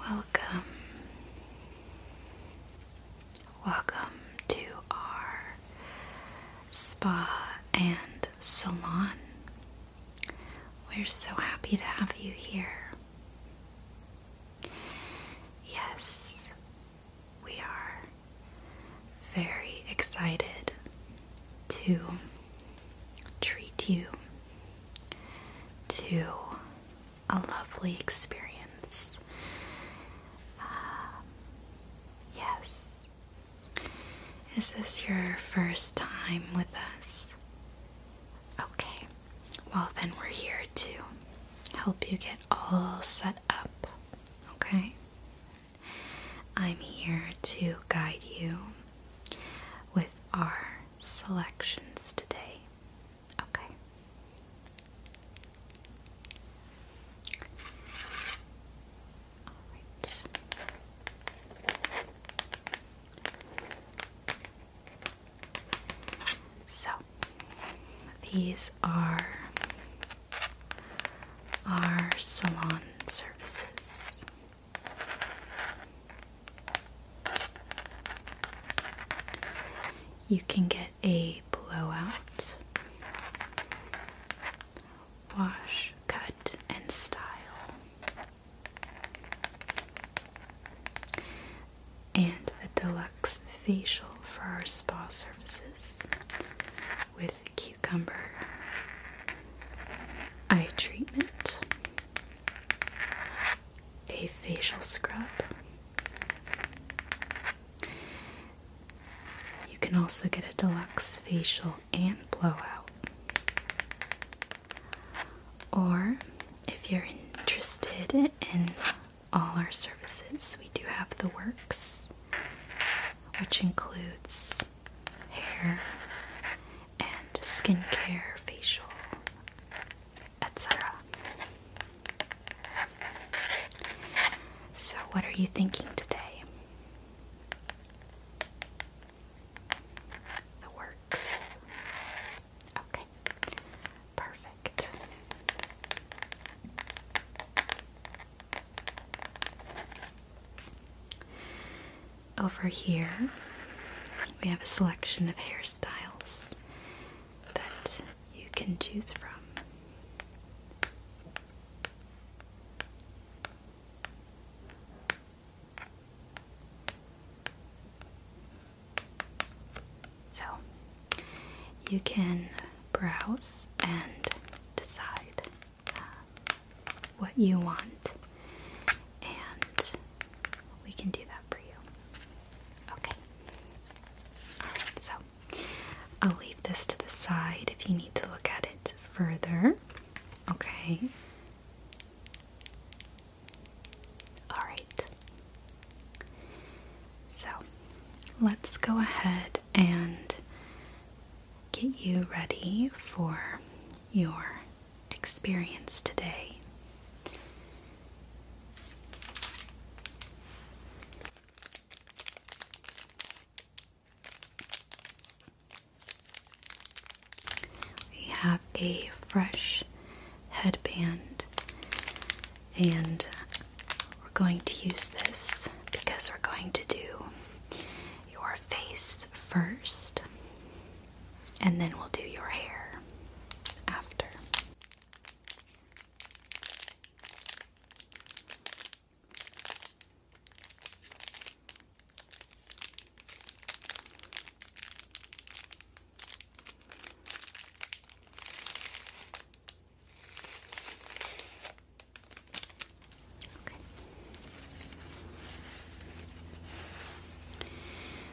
Welcome. Welcome to our spa and salon. We're so happy to have you here. Yes, we are very excited to treat you to a lovely experience. Uh, yes. Is this your first time with us? Okay. Well, then we're here to help you get all set up. Okay? I'm here to guide you with our selections today. Okay. All right. So, these are our salon services. You can get a blowout, wash, cut, and style. And a deluxe facial for our spa services with Q cucumber eye treatment, a facial scrub. You can also get a deluxe facial and blowout. Or if you're interested in all our services, we do have the works, which includes hair and skincare, facial, etc. So, what are you thinking today? The works. Okay, perfect. Over here, we have a selection of hairstyles that you can choose from. So, you can browse and decide uh, what you want, and we can do that for you. Okay. Alright, so I'll leave this to the side if you need to look at it further. Okay. Alright. So let's go ahead and get you ready for your experience today. We have a fresh headband, and we're going to use this because we're going to do your face first, and then we'll do your hair after.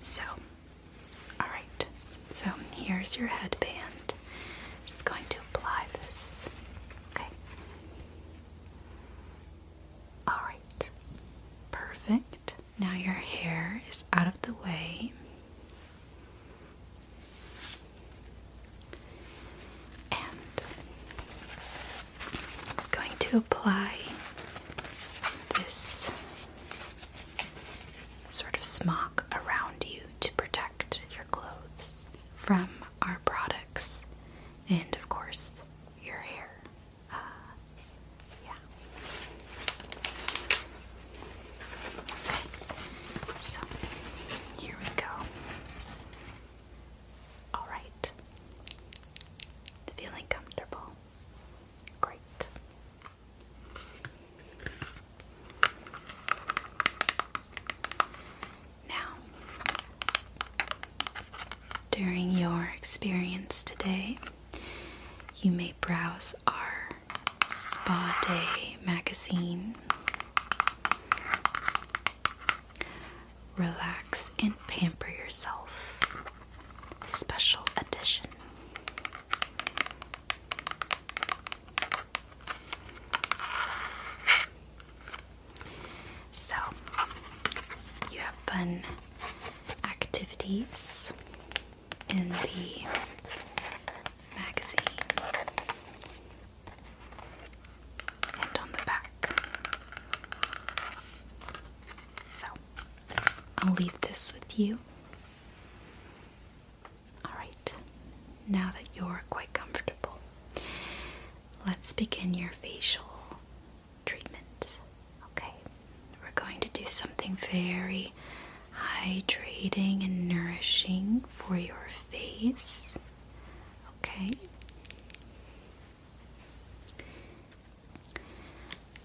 So, alright, so here's your headband. I'm just going to apply this. Okay. Alright, perfect. Now your hair is out of the way. I'm going to apply this sort of smock around you to protect your clothes from our products and, of course, your hair. Uh, yeah. So here we go. All right. Feeling comfortable. Great. Now, during your experience today, you may browse our Spa Day magazine. Relax and pamper yourself. Special edition. So, you have fun activities in the magazine and on the back. So I'll leave this with you. Alright, now that you're quite comfortable, let's begin your facial treatment. Okay, we're going to do something very hydrating and nourishing for your face. Okay.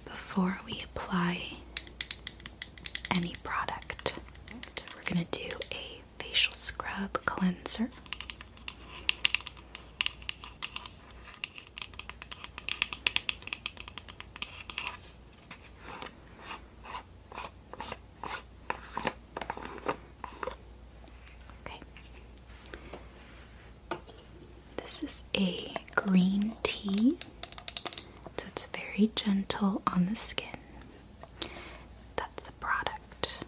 Before we apply any product, we're going to do a facial scrub cleanser. Okay. This is a green tea, so it's very gentle on the skin. That's the product.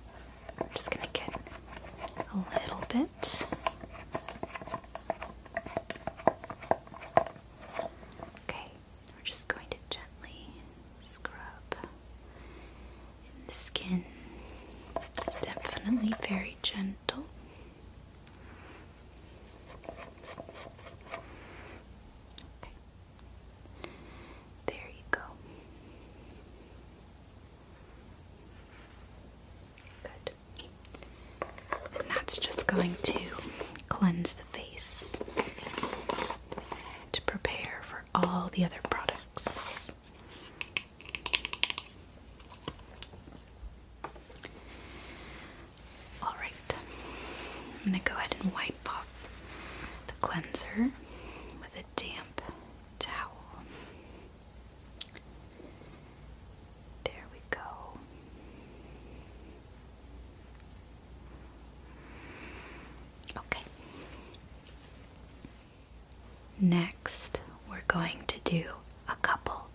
I'm just going to get a little bit. Okay, we're just going to gently scrub the skin. It's definitely very gentle. Okay. There you go. Good. And that's just going to cleanse the face to prepare for all the other products. Alright, I'm going to go ahead and wipe off the cleanser with a damp towel. There we go. Okay. Next, we're going to do a couple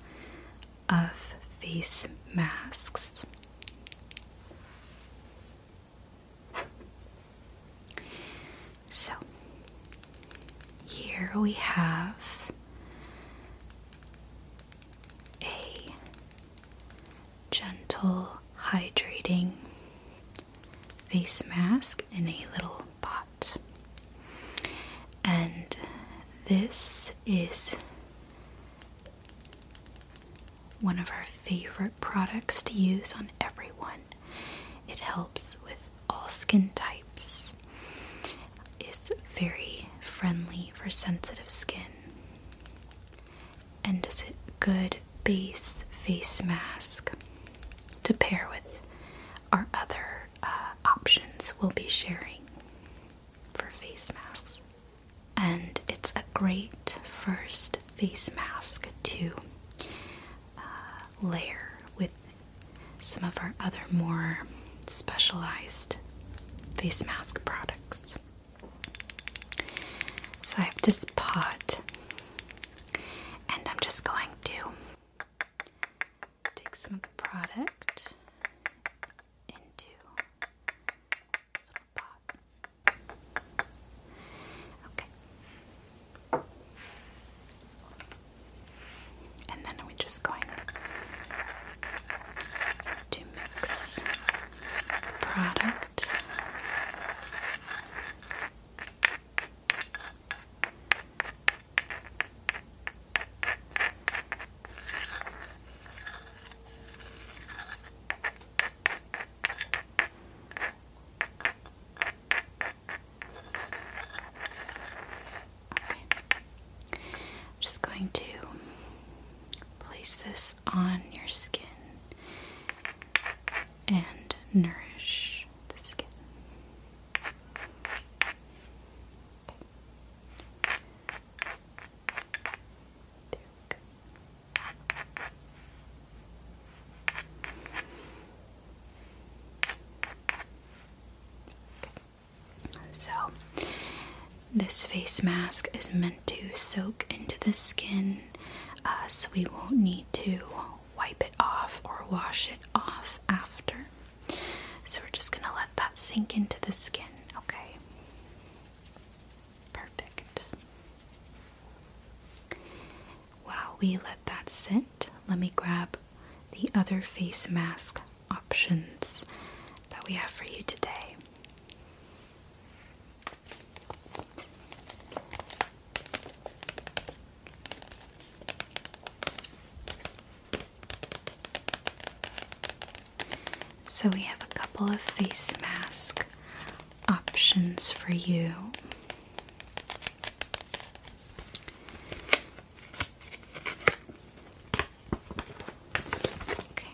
of face masks. So, here we have a gentle, hydrating face mask in a little pot. And this is one of our favorite products to use on everyone. It helps with all skin types. is very friendly for sensitive skin and is a good base face mask to pair with our other uh, options we'll be sharing for face masks. And it's a great first face mask to uh, layer with some of our other more specialized face mask products. So I have this pot, and I'm just going to take some of the product into a pot. Okay. And then we're just going to mix product. Okay. I'm just going to place this on your skin and nourish the skin. So, this face mask is meant to soak into the skin uh, so we won't need to wipe it off or wash it off after. So we're just going to let that sink into the skin, okay? Perfect. While we let that sit, let me grab the other face mask options that we have for you today. So, we have a couple of face mask options for you. Okay.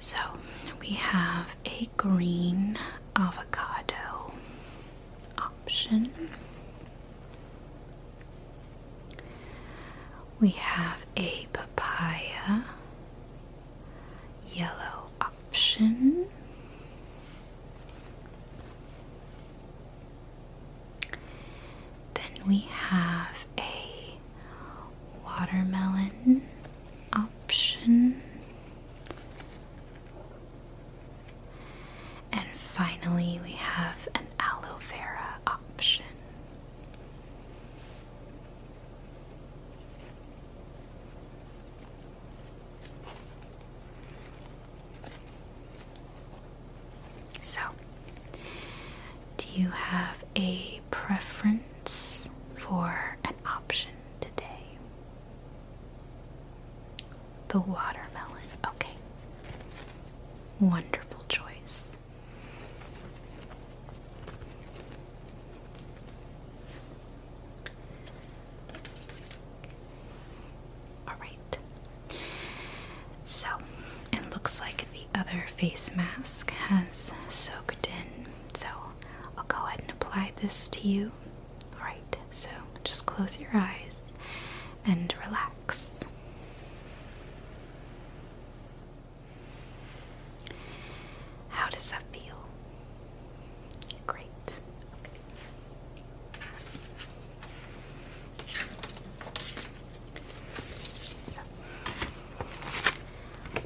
So we have a green avocado option. We have a papaya yellow option. Then we have a watermelon option. And finally, we have an aloe vera option. So, do you have a preference for an option today? The watermelon. Okay. Wonderful choice. Alright. So, it looks like the other face mask has soaked in. So, I'll go ahead and apply this to you. Alright, so just close your eyes and relax. How does that feel? Great.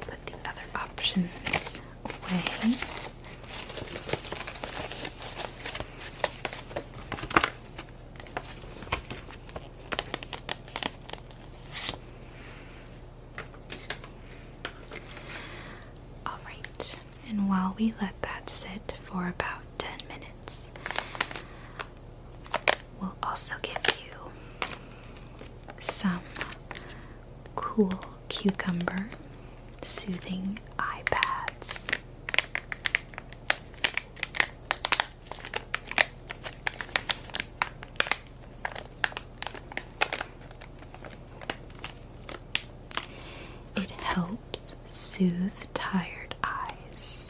put the other options away. Alright, and while we let that sit for about 10 minutes, we'll also give you some cool cucumber soothing eye pads. It helps soothe tired eyes.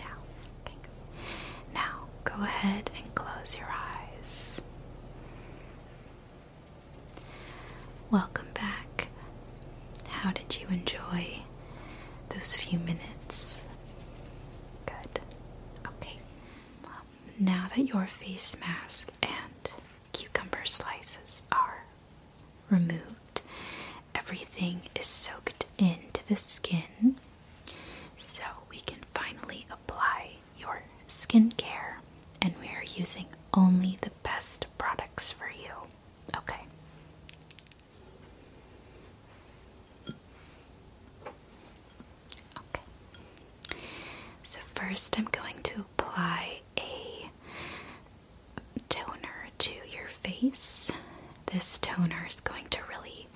Now, Now, go ahead and close your eyes. Welcome back. How did you enjoy those few minutes? Good. Okay. Now that your face mask and cucumber slices are removed, everything is soaked into the skin so we can finally apply your skincare and we are using only the best products for you. Okay. So first I'm going to apply a toner to your face. This toner is going to really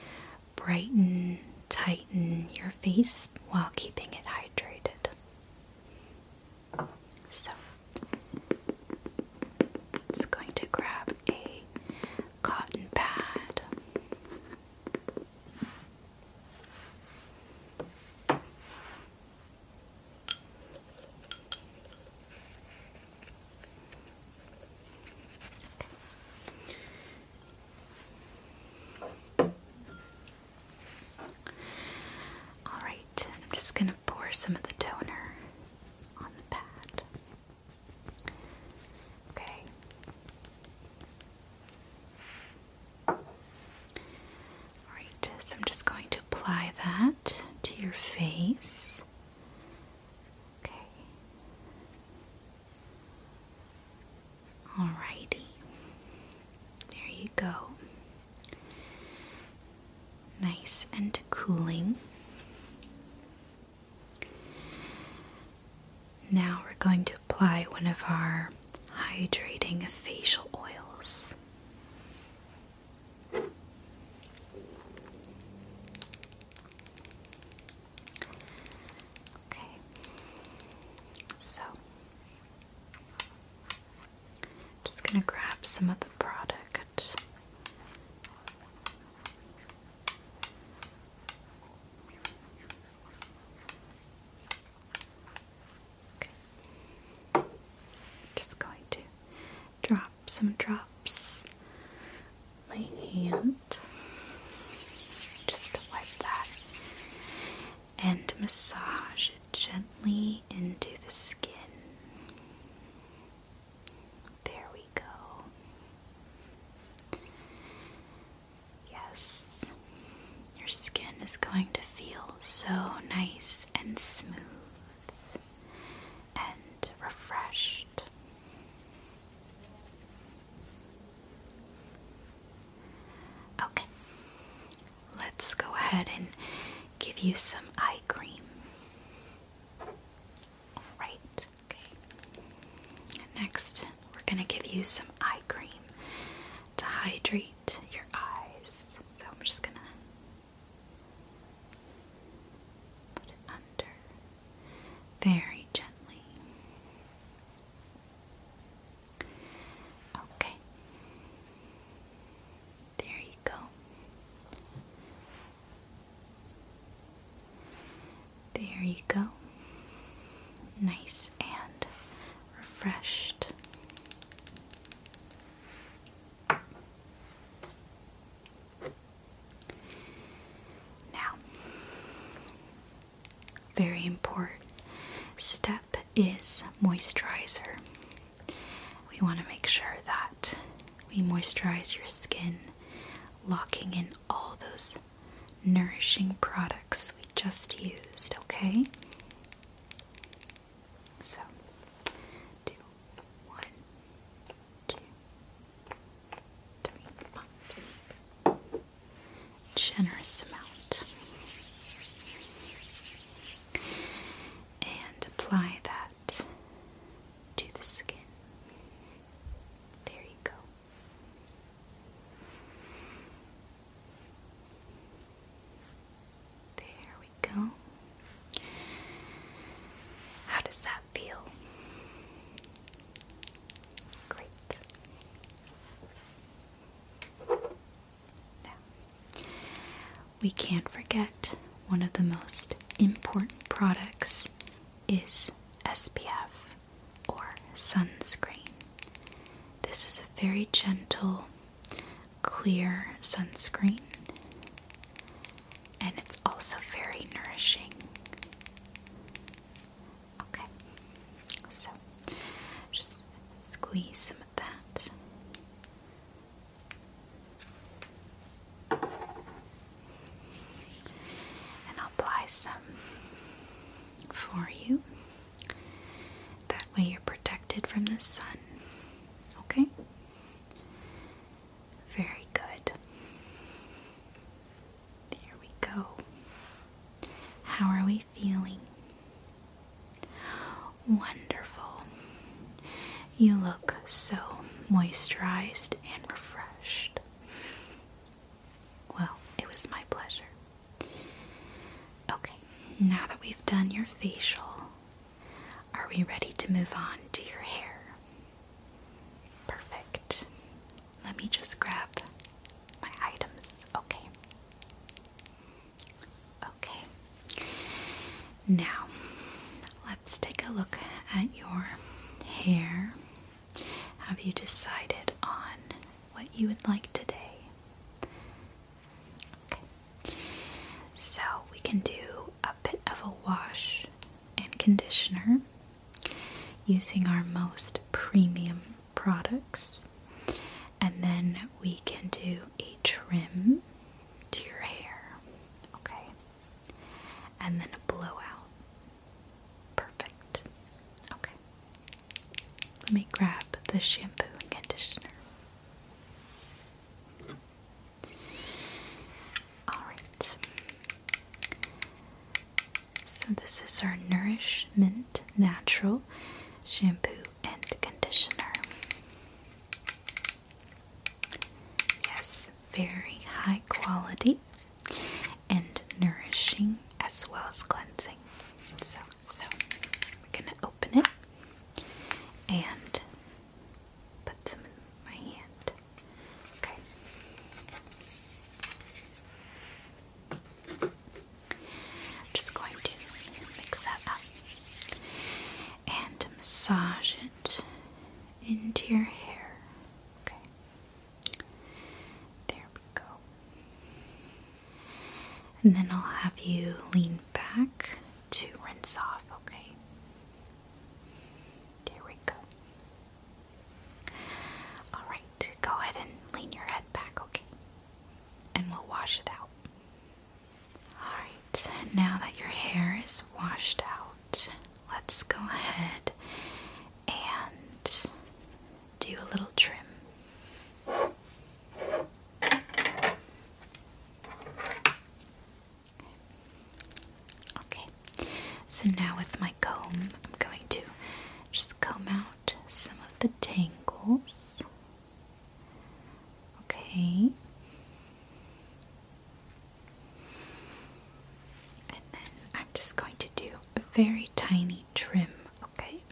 brighten, tighten your face while keeping it hydrated. So it's going to grab a cotton pad. All right, I'm just going to pour some of the toner on the pad. Okay. Alright, so I'm just going to apply that to your face. Okay. Alrighty. There you go. Nice and cooling. Now we're going to apply one of our hydrating facial oils. Okay, so just going to grab some of the product. Just going to drop some drops my hand just wipe that and massage it gently into the skin there we go. Yes, your skin is going to feel so nice and smooth and refreshed. Okay, let's go ahead and give you some eye cream. All right. Okay. Next, we're going to give you some eye cream to hydrate your eyes. So I'm just going to put it under very gently. Okay. There you go. There you go. Nice and refreshed. Now, very important step is moisturizer. We want to make sure that we moisturize your skin, locking in all those nourishing products we just used, okay? So, do pumps. Generous amount. And apply that to the skin. There you go. There we go. How does that feel? Great. Now, we can't forget one of the most important products is SPF or sunscreen. This is a very gentle, clear sunscreen, and it's also very nourishing. Okay, so squeeze some of that. And I'll apply some for you. That way you're protected from the sun. Okay? Very good. There we go. How are we feeling? Wonderful. You look so moisturized and refreshed. Well, it was my pleasure. Okay, now that we've done your facial, are we ready to move on to your hair? Perfect. Let me just grab my items. Okay. Okay. Now, let's take a look at your hair. Have you decided on what you would like today? Okay. So we can do a bit of a wash and conditioner using our most premium products. And then we can do a trim to your hair. Okay and then a blowout. Perfect. Okay. Let me grab the shampoo and conditioner. Alright. So, this is our Nourishment Natural Shampoo and Conditioner. Yes, very high quality and nourishing as well as cleansing. So, so we're gonna open it and put some in my hand. Okay. I'm just going to mix that up and massage it into your hair. Okay. There we go. And then I'll have you lean back to rinse off, okay? There we go. Alright, go ahead and lean your head back, okay? And we'll wash it out. Alright, now that your hair is washed out, let's go ahead and do a little trim. Okay, so now with my comb, I'm going to just comb out some of the tangles. Okay. And then I'm just going to do a very tiny trim, okay?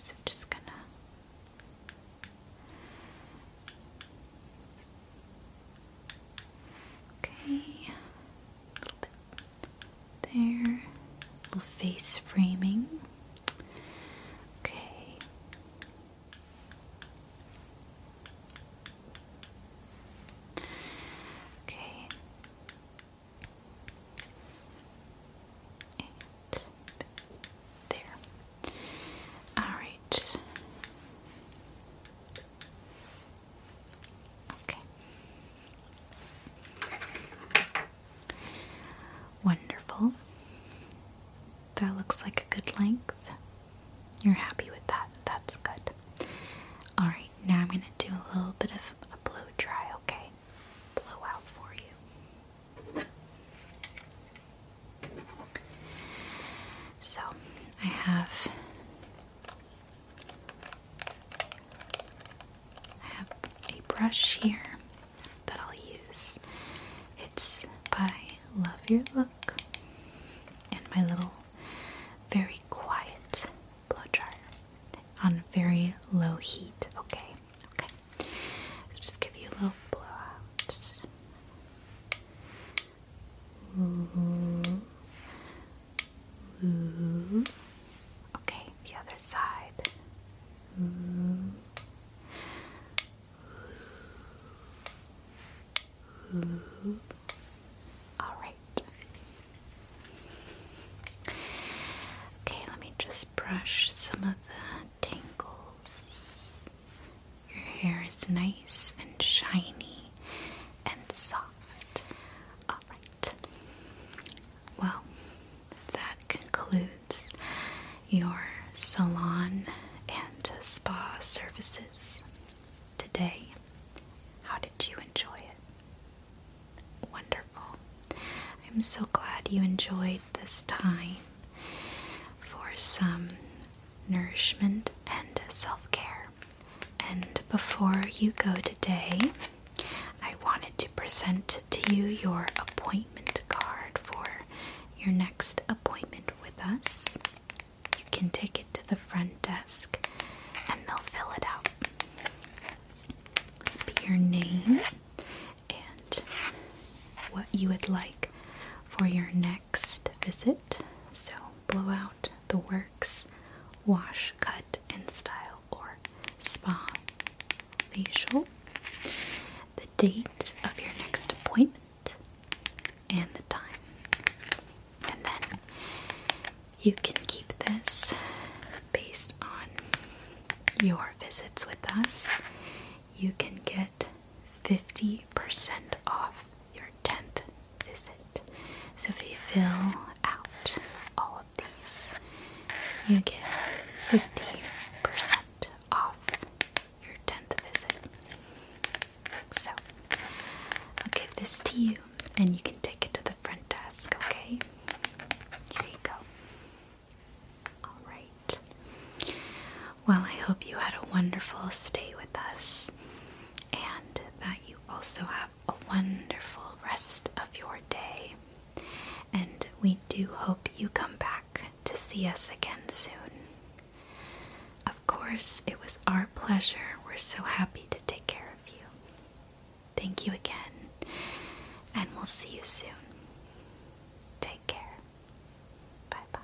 So I'm just gonna Okay, a little bit there, little face framing. Okay, Okay. And there. Alright. Okay. Wonderful. That looks like a good length. You're happy with that. That's good. Alright, now I'm going to do a little bit of a blow dry, okay? Blow out for you. So, I have I have a brush here that I'll use. It's by Love Your Look and my little very quiet blow dryer on very low heat. Okay, okay. just give you a little blowout. Okay, the other side. Mm-hmm. All right. Okay, let me just brush some of the tangles. Your hair is nice and shiny and soft. All right. Well, that concludes your salon and spa services today. How did you enjoy it? Wonderful. I'm so glad you enjoyed this time for some nourishment and self care. And before you go today, I wanted to present to you your appointment card for your next appointment with us, you can take it to the front desk and they'll fill it out. Be your name and what you would like for your next visit. So, blow out the works, wash, cut, and style, or spa facial. The date of your next appointment and the time. And then you can keep this based on your visits with us. You can get 50% off your 10th visit. So if you fill out all of these, you get 50% off your 10th visit. So, I'll give this to you and you can take it to the front desk, okay? Here you go. Alright. Well, I hope you had a wonderful stay with us and that you also have a wonderful rest of your day. And we do hope you come back to see us again soon. Of course, it was our pleasure. We're so happy to take care of you. Thank you again, and we'll see you soon. Take care. Bye bye.